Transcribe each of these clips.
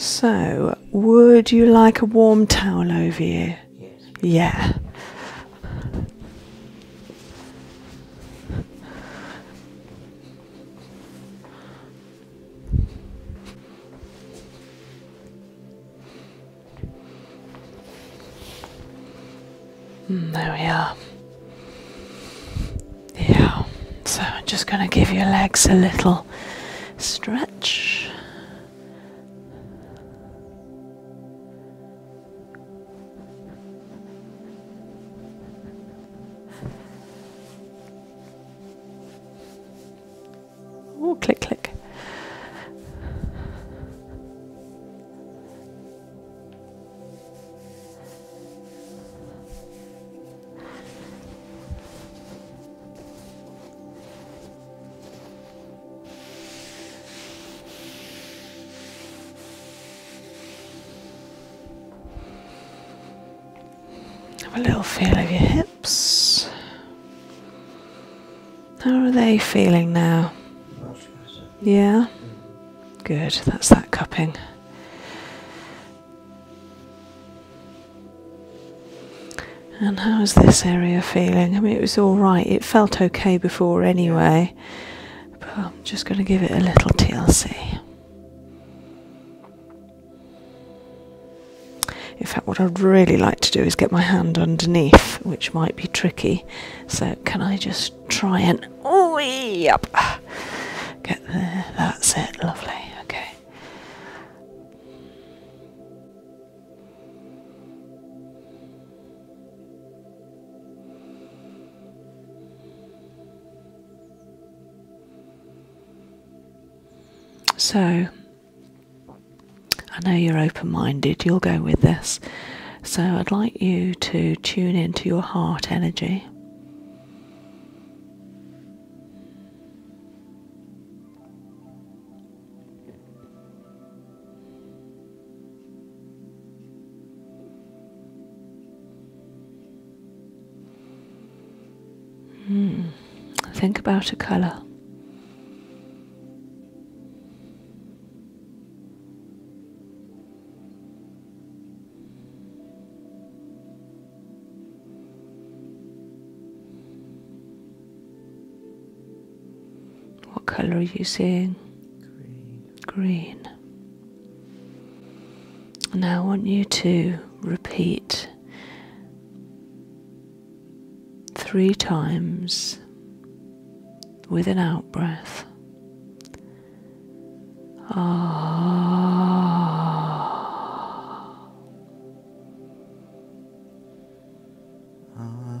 So, would you like a warm towel over you? Yes. Yeah. Hmm, there we are. Yeah, so I'm just going to give your legs a little stretch. Oh, click, click. Have a little feel of your hips. How are they feeling now? Yeah? Good, that's that cupping. And how is this area feeling? I mean, it was all right. It felt okay before anyway. But I'm just going to give it a little TLC. In fact, what I'd really like to do is get my hand underneath, which might be tricky. So, can I just try and. Oh, yep! Get there. That's it. Lovely. Okay. So, I know you're open minded, you'll go with this. So, I'd like you to tune into your heart energy. Hmm. Think about a colour. What colour are you seeing? Green. Green. Now I want you to repeat three times with an out breath. Ah. Ah.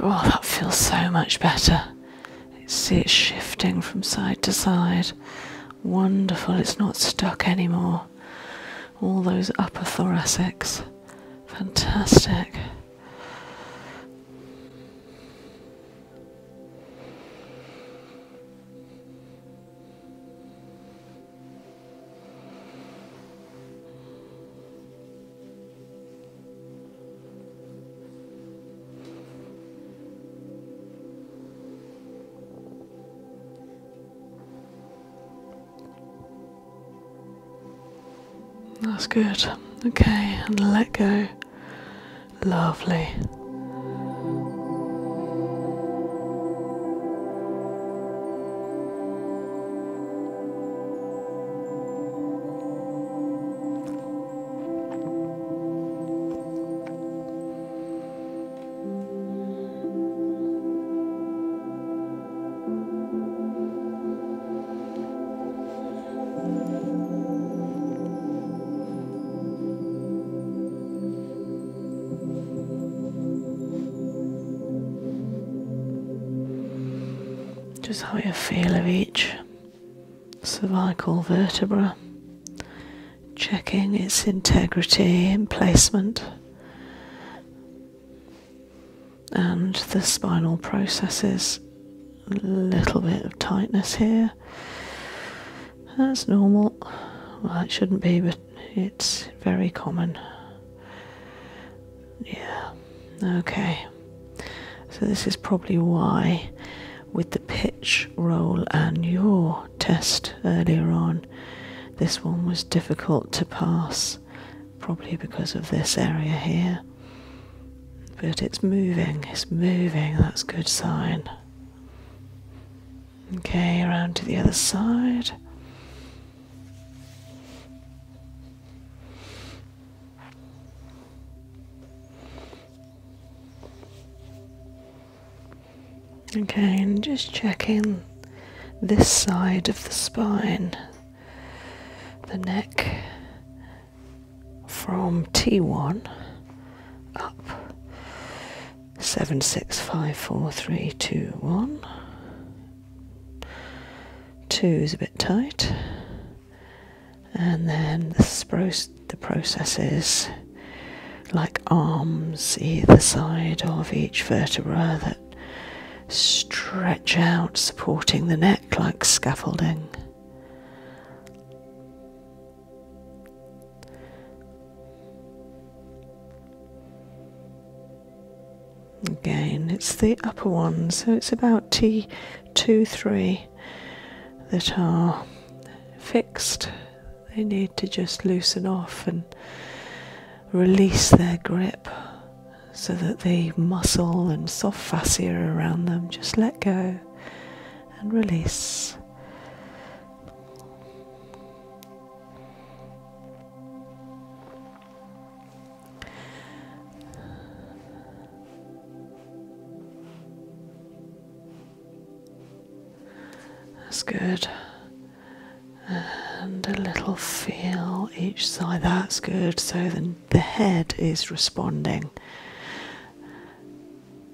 Oh, that feels so much better. See it shifting from side to side. Wonderful, it's not stuck anymore. All those upper thoracics. Fantastic. That's good. Okay, and let go. Lovely. Just how you feel of each cervical vertebra, checking its integrity in placement and the spinal processes. A little bit of tightness here. That's normal. Well, it shouldn't be, but it's very common. Yeah, okay. So, this is probably why, with the pitch roll and your test earlier on, this one was difficult to pass. Probably because of this area here. But it's moving, it's moving, that's a good sign. Okay, around to the other side. Okay, and just checking this side of the spine, the neck from T1 up 7654321. Two is a bit tight and then the, processes like arms either side of each vertebra that stretch out, supporting the neck like scaffolding again it's the upper ones, so it's about t2-3 that are fixed they need to just loosen off and release their grip so that the muscle and soft fascia around them just let go and release that's good. And a little feel each side. That's good. So then the head is responding.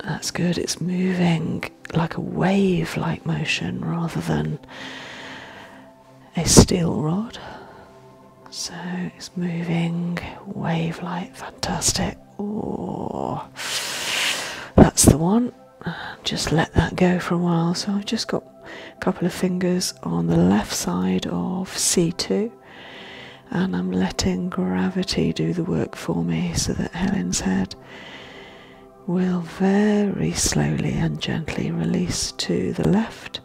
That's good. It's moving like a wave like motion rather than a steel rod. So it's moving, wave wavelight, fantastic. Oh, that's the one. Just let that go for a while. So I've just got a couple of fingers on the left side of C2 and I'm letting gravity do the work for me so that Helen's head will very slowly and gently release to the left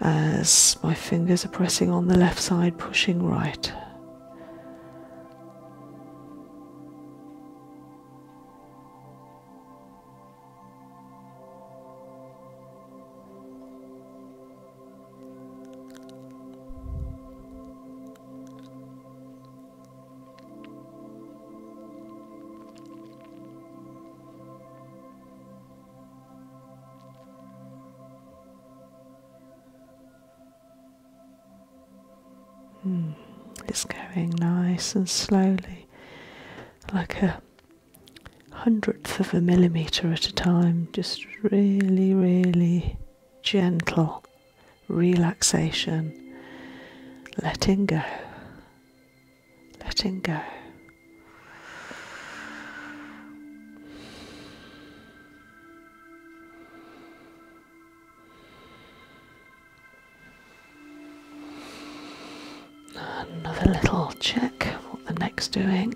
as my fingers are pressing on the left side, pushing right. Hmm, it's going nice and slowly, like a hundredth of a millimetre at a time, just really, really gentle relaxation, letting go, letting go. Another little check what the neck's doing.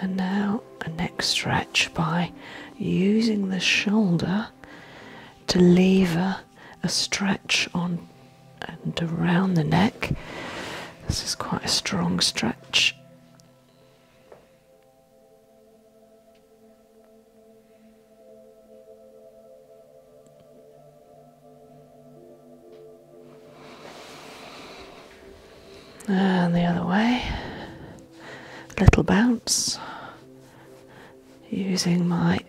And now a neck stretch by using the shoulder to lever a stretch on and around the neck. This is quite a strong stretch. And the other way. Little bounce using my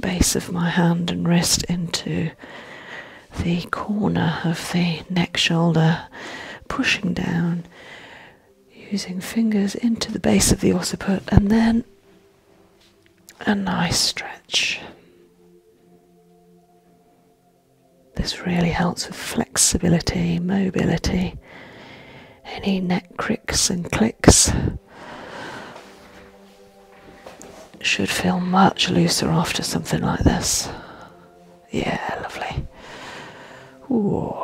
base of my hand and wrist into the corner of the neck shoulder, pushing down, using fingers into the base of the occiput, and then a nice stretch. This really helps with flexibility, mobility, any neck cricks and clicks should feel much looser after something like this. Yeah, lovely. Ooh.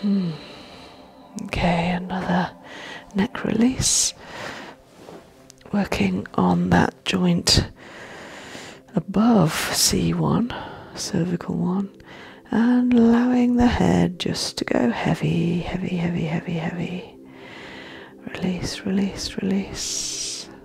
Hmm. Okay, another neck release. Working on that joint above C1, cervical one, and allowing the head just to go heavy, heavy, heavy, heavy, heavy. Release, release, release.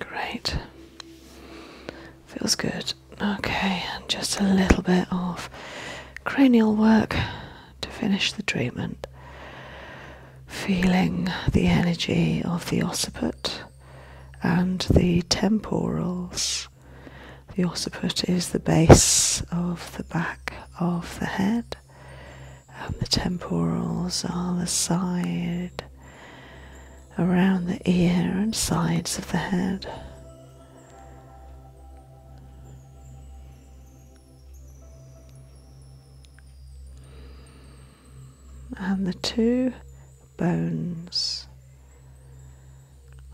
Great. Feels good. Okay, and just a little bit of cranial work to finish the treatment. Feeling the energy of the occiput and the temporals. The occiput is the base of the back of the head, and the temporals are the side around the ear and sides of the head. And the two bones,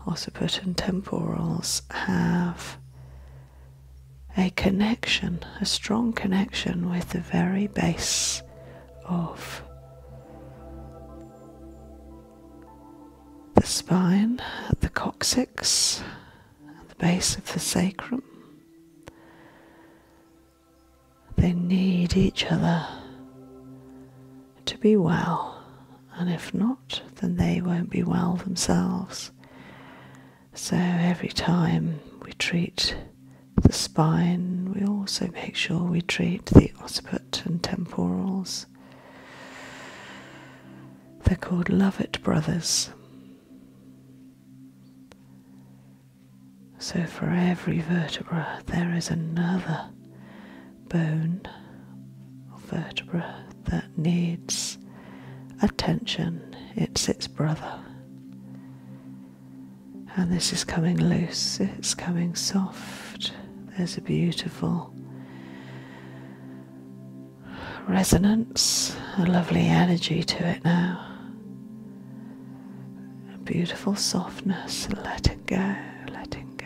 occiput and temporals, have a connection, a strong connection with the very base of the spine at the coccyx and the base of the sacrum. They need each other to be well, and if not, then they won't be well themselves. So every time we treat the spine. We also make sure we treat the occiput and temporals. They're called Lovett Brothers. So for every vertebra, there is another bone or vertebra that needs attention. It's its brother and this is coming loose, it's coming soft. There's a beautiful resonance, a lovely energy to it now. A beautiful softness, Let it go, letting go.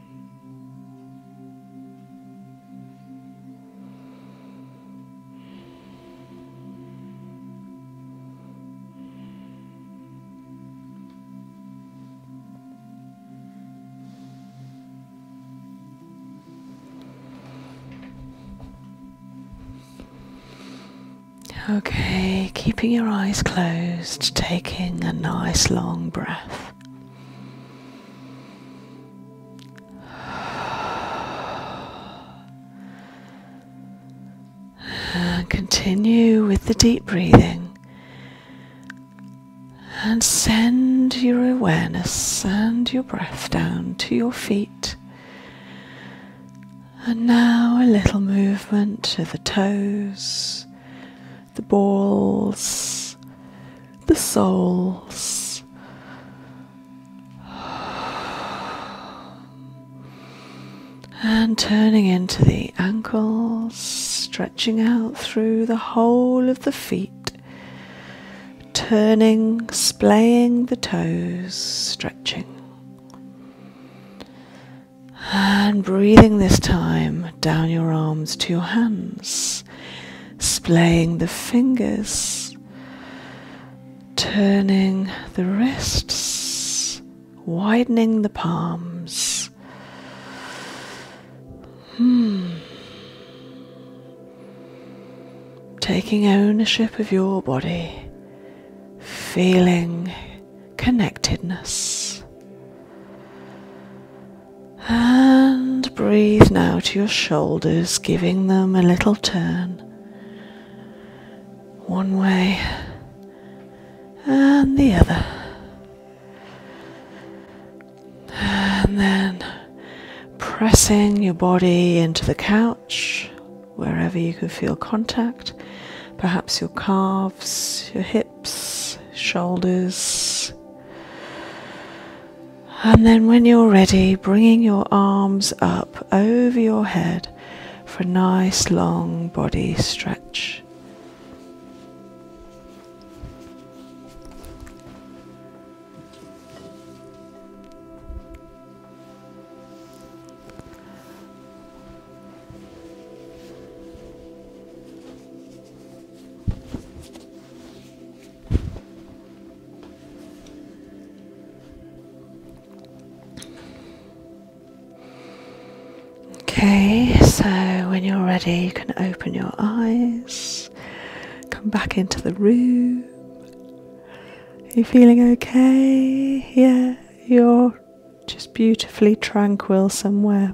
Okay, keeping your eyes closed closed, taking a nice long breath. And continue with the deep breathing and send your awareness and your breath down to your feet. And now a little movement to the toes the balls, the souls. And turning into the ankles, stretching out through the whole of the feet. Turning, splaying the toes, stretching. And breathing this time down your arms to your hands, splaying the fingers, turning the wrists, widening the palms. Hmm. Taking ownership of your body, feeling connectedness. And breathe now to your shoulders, giving them a little turn one way and the other. And then pressing your body into the couch wherever you can feel contact, perhaps your calves, your hips shoulders. And then, when you're ready, bringing your arms up over your head for a nice long body stretch. Okay, so when you're ready, you can open your eyes, come back into the room. Are you feeling okay? Yeah, you're just beautifully tranquil somewhere.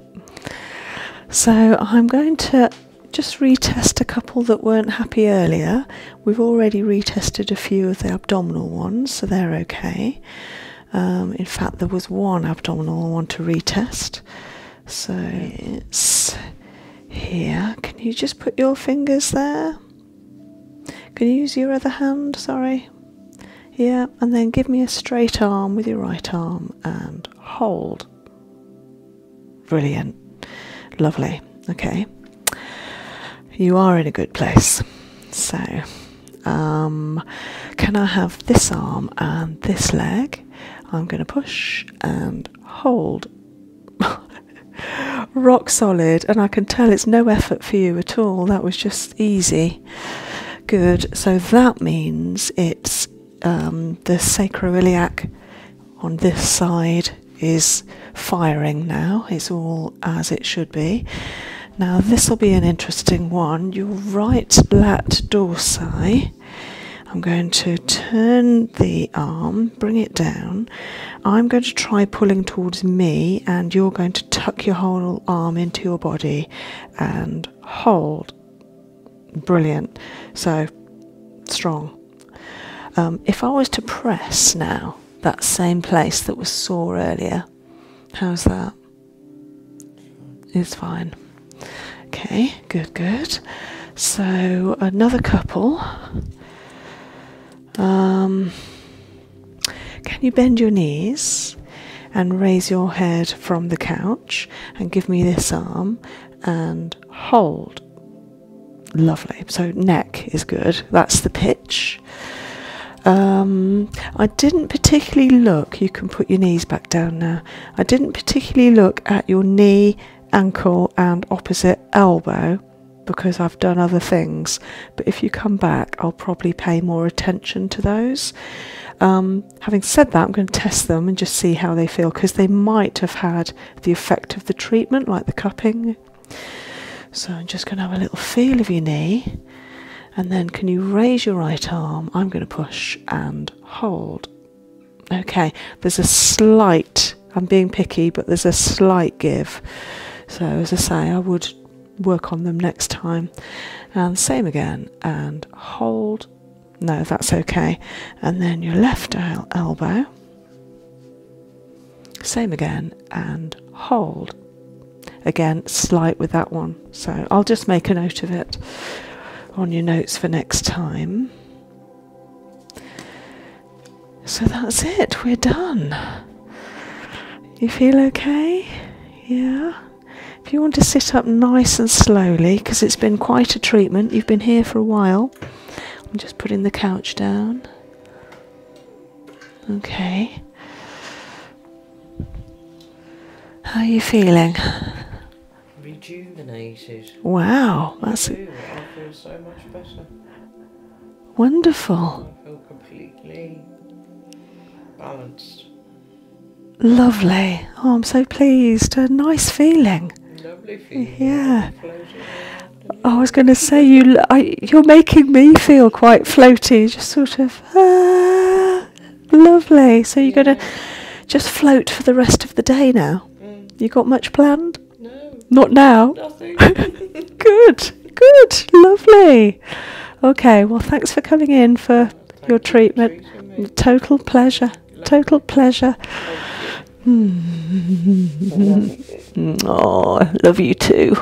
So I'm going to just retest a couple that weren't happy earlier. We've already retested a few of the abdominal ones, so they're okay. Um, in fact, there was one abdominal one to retest. So it's here. Can you just put your fingers there? Can you use your other hand? Sorry. Yeah, and then give me a straight arm with your right arm and hold. Brilliant. Lovely. Okay. You are in a good place. So, um, can I have this arm and this leg? I'm going to push and hold. Rock solid, and I can tell it's no effort for you at all. That was just easy good. So that means it's um, the sacroiliac on this side is firing now. It's all as it should be. Now this will be an interesting one. Your right lat dorsi. I'm going to turn the arm, bring it down. I'm going to try pulling towards me, and you're going to tuck your whole arm into your body and hold. Brilliant. So strong. Um, if I was to press now that same place that was sore earlier, how's that? It's fine. Okay, good, good. So another couple. Um, can you bend your knees and raise your head from the couch and give me this arm and hold? Lovely. So, neck is good. That's the pitch. Um, I didn't particularly look, you can put your knees back down now. I didn't particularly look at your knee, ankle, and opposite elbow because I've done other things. But if you come back, I'll probably pay more attention to those. Um, having said that, I'm going to test them and just see how they feel because they might have had the effect of the treatment, like the cupping. So I'm just going to have a little feel of your knee. And then can you raise your right arm? I'm going to push and hold. Okay, there's a slight, I'm being picky, but there's a slight give. So as I say, I would work on them next time. And same again, and hold. No, that's okay. And then your left elbow. Same again, and hold. Again, slight with that one. So I'll just make a note of it on your notes for next time. So that's it, we're done. You feel okay? Yeah? If you want to sit up nice and slowly, because it's been quite a treatment, you've been here for a while. I'm just putting the couch down. Okay. How are you feeling? Rejuvenated. Wow, that's. I feel so much better. Wonderful feel completely balanced. Lovely. Oh, I'm so pleased. A nice feeling. Lovely feeling. Yeah. I was going to say you. you're making me feel quite floaty. Just sort of ah, lovely. So you're going to just float for the rest of the day now. Mm. You got much planned? No. Not now. good. Good. Lovely. Okay, well, thanks for coming in for your treatment. Total pleasure. Total pleasure. Mm. Oh, I love you too.